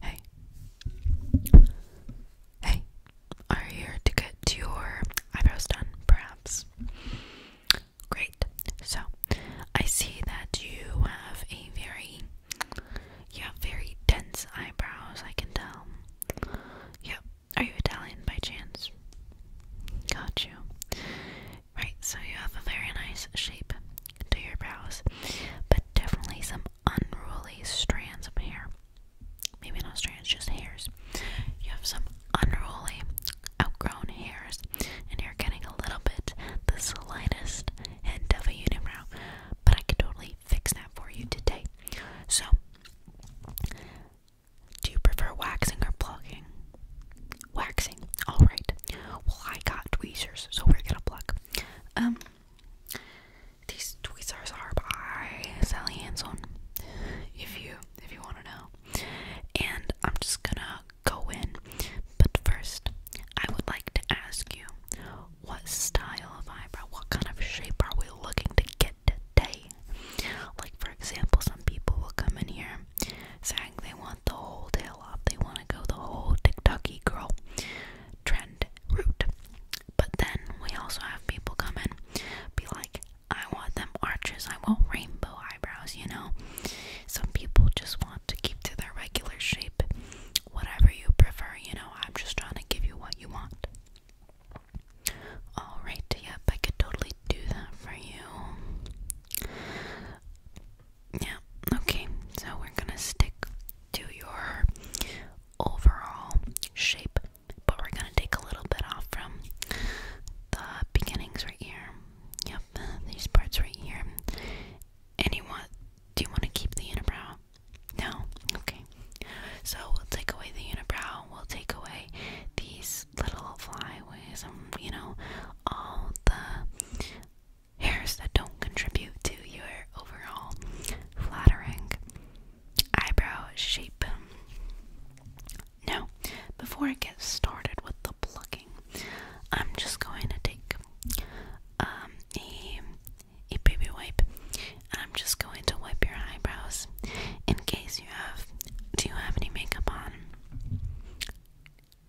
Hey. Hey. Are here to get your eyebrows done, perhaps? Great. So, I see that you have a very you very dense eyebrows, I can tell. Yep. Are you Italian by chance? Got you. Right, so you have a very nice shape to your brows, but definitely some unruly strands of hair. Maybe not strands, just hairs. You have some unruly, outgrown hairs, and you're getting a little bit the slightest hint of a unibrow, but I can totally fix that for you today. So, do you prefer waxing or plucking? Waxing. Alright. Well, I got tweezers, so we're gonna pluck. Um, these tweezers are by Sally Hansen, if you if you want to know. And I'm just gonna go in, but first I would like to ask you, what style of eyebrow, what kind of shape are we looking to get today? Like for example, some people will come in here saying they want the whole tail off. they want to go the whole TikToky girl trend route. But then we also have people come in, be like, I want them arches, I want rainbow eyebrows, you know? Some people just want to keep to their regular shape. Whatever you prefer, you know, I'm just trying to give you what you want. Alright, yep, I could totally do that for you. Yeah, okay, so we're gonna stick to your overall shape, but we're gonna take a little bit off from the beginnings right here. Yep, these parts right here. And you want, do you want to keep the unibrow? No? Okay. So we'll take away the unibrow, we'll take away these little flyaways, and um, you know, all the hairs that don't contribute to your overall flattering eyebrow shape. Now, before I get started with the plucking, I'm just going to take um, a, baby wipe and I'm just going to wipe your eyebrows in case you have. Do you have any makeup on?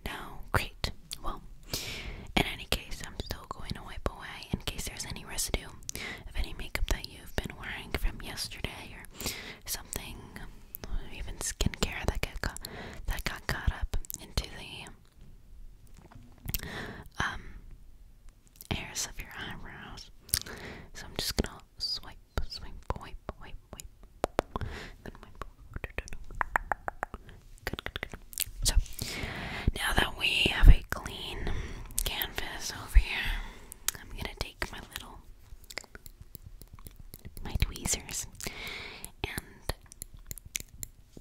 No? Great. Well, in any case, I'm still going to wipe away in case there's any residue of any makeup that you've been wearing from yesterday or something, even skincare that got, that got caught up into the um, hairs of your eyebrows. So I'm just going to swipe, swipe, wipe, wipe, wipe, then wipe so, now that we have a clean canvas over here, I'm gonna take my little my tweezers and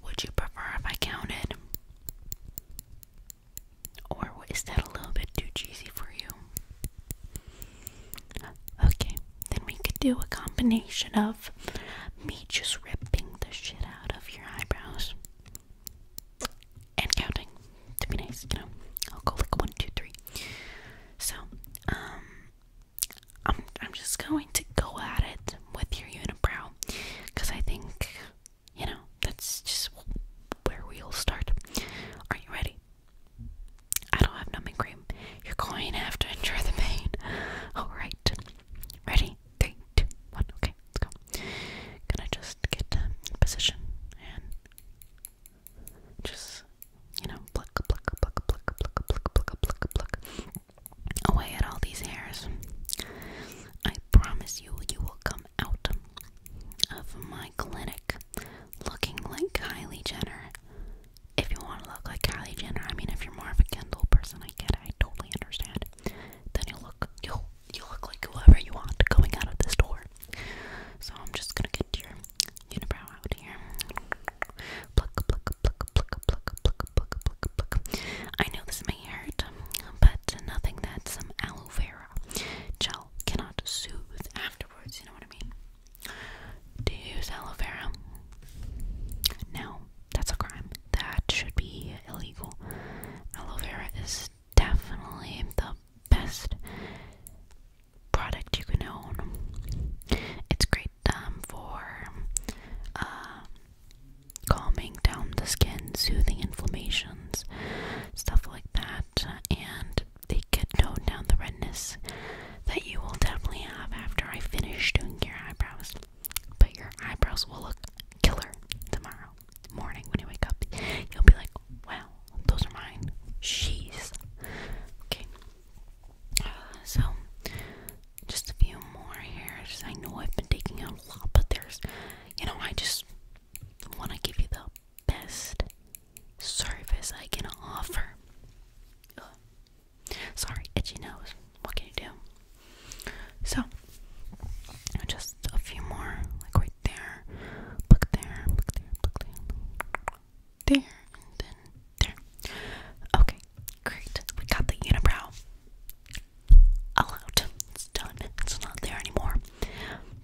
would you prefer if I counted? Or is that a little bit too cheesy for you? Okay, then we could do a combination of me just ripping the shit out of your eyebrows and counting to be nice, you know. I'll go like one, two, three. So, um, I'm I'm just going to go at it with your unibrow, cause I think you know that's just where we'll start. Are you ready? I don't have numbing cream. You're going to have to endure the pain. Alright. Ready? Three, two, one. Okay, let's go. Gonna just get in position and just, you know, pluck, pluck, pluck, pluck, pluck, pluck, pluck, pluck, pluck away at all these hairs. I promise you, you will come out of my clinic looking like Kylie Jenner if you want to look like Kylie Jenner, I mean, if you're more of a Kendall person, I get it. I totally understand. Then you look, you you look like whoever you want going out of this door. So I'm just gonna get your unibrow out here. Pluck, pluck, pluck, pluck, pluck, pluck, pluck, pluck, pluck. I know this may hurt, but nothing that some aloe vera gel cannot soothe afterwards. You know what I mean? Do you use aloe vera? No, that's a crime. That should be illegal. Aloe vera is definitely the best product you can own. It's great um, for um, calming down the skin, soothing inflammations, stuff like that, and they can tone down the that you will definitely have after I finish doing your eyebrows. But your eyebrows will look killer tomorrow morning when you wake up. You'll be like, wow, those are mine. She's Okay. Uh, so, just a few more hairs. I know I've been taking out a lot, but there's, you know, I just want to give you the best service I can offer. Sorry, itchy nose. What can you do? So, just a few more, like right there, look there, look there, look there, there, and then there. Okay, great. We got the unibrow out. It's done. It's not there anymore.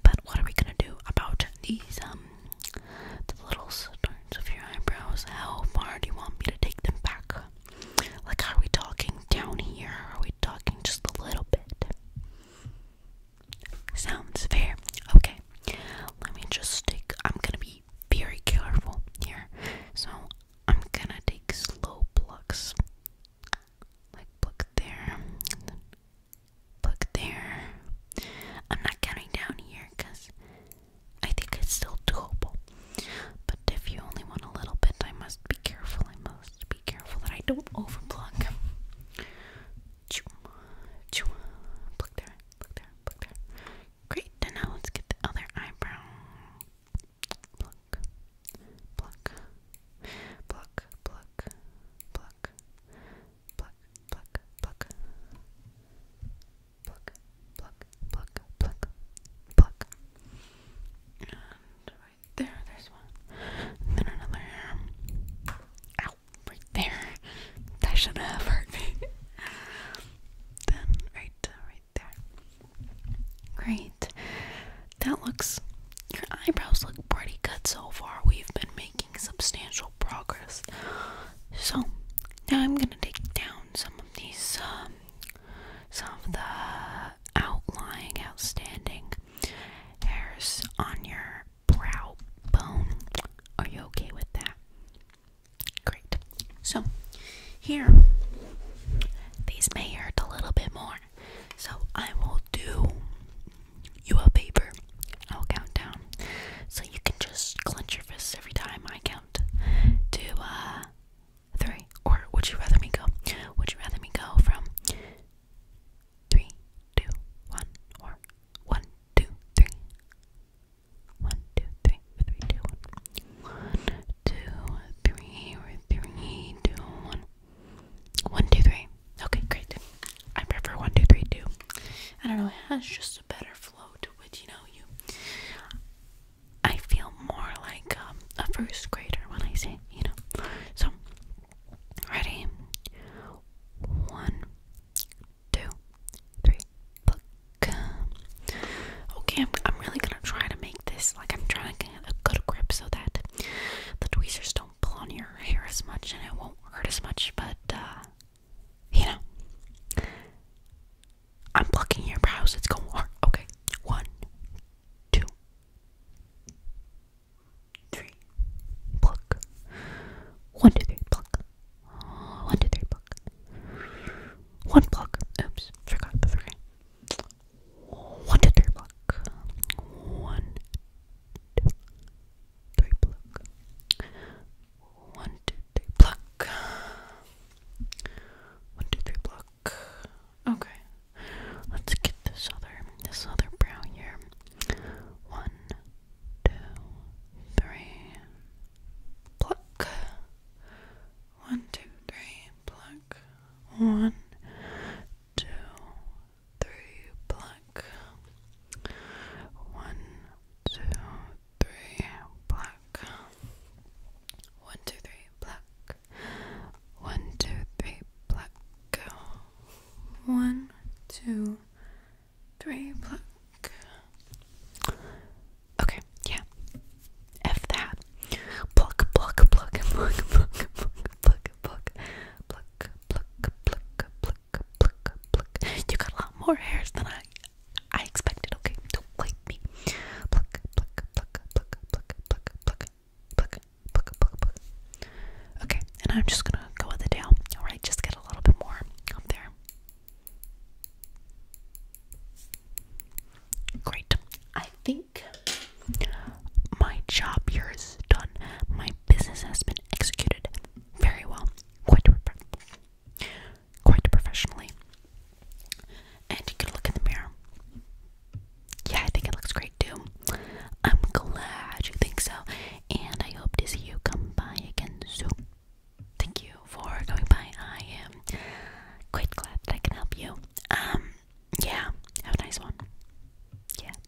But what are we gonna do about these um the little starts of your eyebrows. How far do you want me to take them back? Like, are we talking down here? Or are we talking just a little bit? Sounds fair. Okay, let me just stick. I'm gonna be very careful here, so I'm gonna take slow plucks. Like, look there, Look there. I'm not counting down here because I think it's still doable. But if you only want a little bit, I must be careful. I must be careful that I don't overplug. Choo, choo. Pluck there, pluck there, pluck there. Great, and now let's get the other eyebrow. Pluck, pluck, pluck, pluck, pluck, pluck, pluck, pluck, pluck, pluck, pluck, pluck, pluck. And right there, there's one. then another. Ow, right there. That should have hurt me. then right, uh, right there. Great. That looks. Your eyebrows look pretty good so far. We've been making making substantial progress. So now I'm gonna take down some of these, um, some of the outlying, outstanding hairs on your brow bone. Are you okay with that? Great. So here, these may hurt a little bit more. So I will do you a paper. I'll count down. So you can just clench your fists every time I count to uh three. Or would you rather me go? Would you rather me go from three, two, one, or one, two, three? One, two, three, three, two, one. One, two, three, or three, two, one. One, two, three. Okay, great. I prefer one, two, three, two. I don't know, it has just a better flow to it, you know, you I feel more like um, a first grader when I say, you know. So ready? One, two, three, look. Okay, I'm, I'm really gonna try to make this like I'm trying to get a good grip so that the tweezers don't pull on your hair as much and it won't hurt as much, but uh you know, I'm plucking your brows. It's going hard. Okay, one, two, three, pluck. One, two, three, pluck. One, two, three, pluck. One pluck. Oops, forgot. But okay. One, two, three, pluck. One, two, pluck. One, two, three, pluck. One, two, three, pluck. Okay. Let's get this other this other brown hair. One, two, three, pluck. One, two, three, pluck. One, two, through black. One, two, three, black. One, two, three, black. One, two, three, black. One, two, three, black. Okay, yeah. F that. Pluck, pluck, pluck, pluck, pluck, pluck, pluck, pluck, pluck, pluck, pluck, pluck, pluck, pluck. You got a lot more hairs than I I expected, okay? Don't blame me. pluck, pluck, pluck, pluck, pluck, pluck, pluck, pluck, pluck, pluck. Okay, and I'm just gonna go with the tail. Alright, just get a little bit more up there. Great. I think my job here is done. My business has been executed very well, quite, quite professionally. And you can look in the mirror. Yeah, I think it looks great too. I'm glad you think so, and I hope to see you come by again soon. Thank you for going by. I am quite glad that I can help you. Um, yeah, have a nice one. Yeah.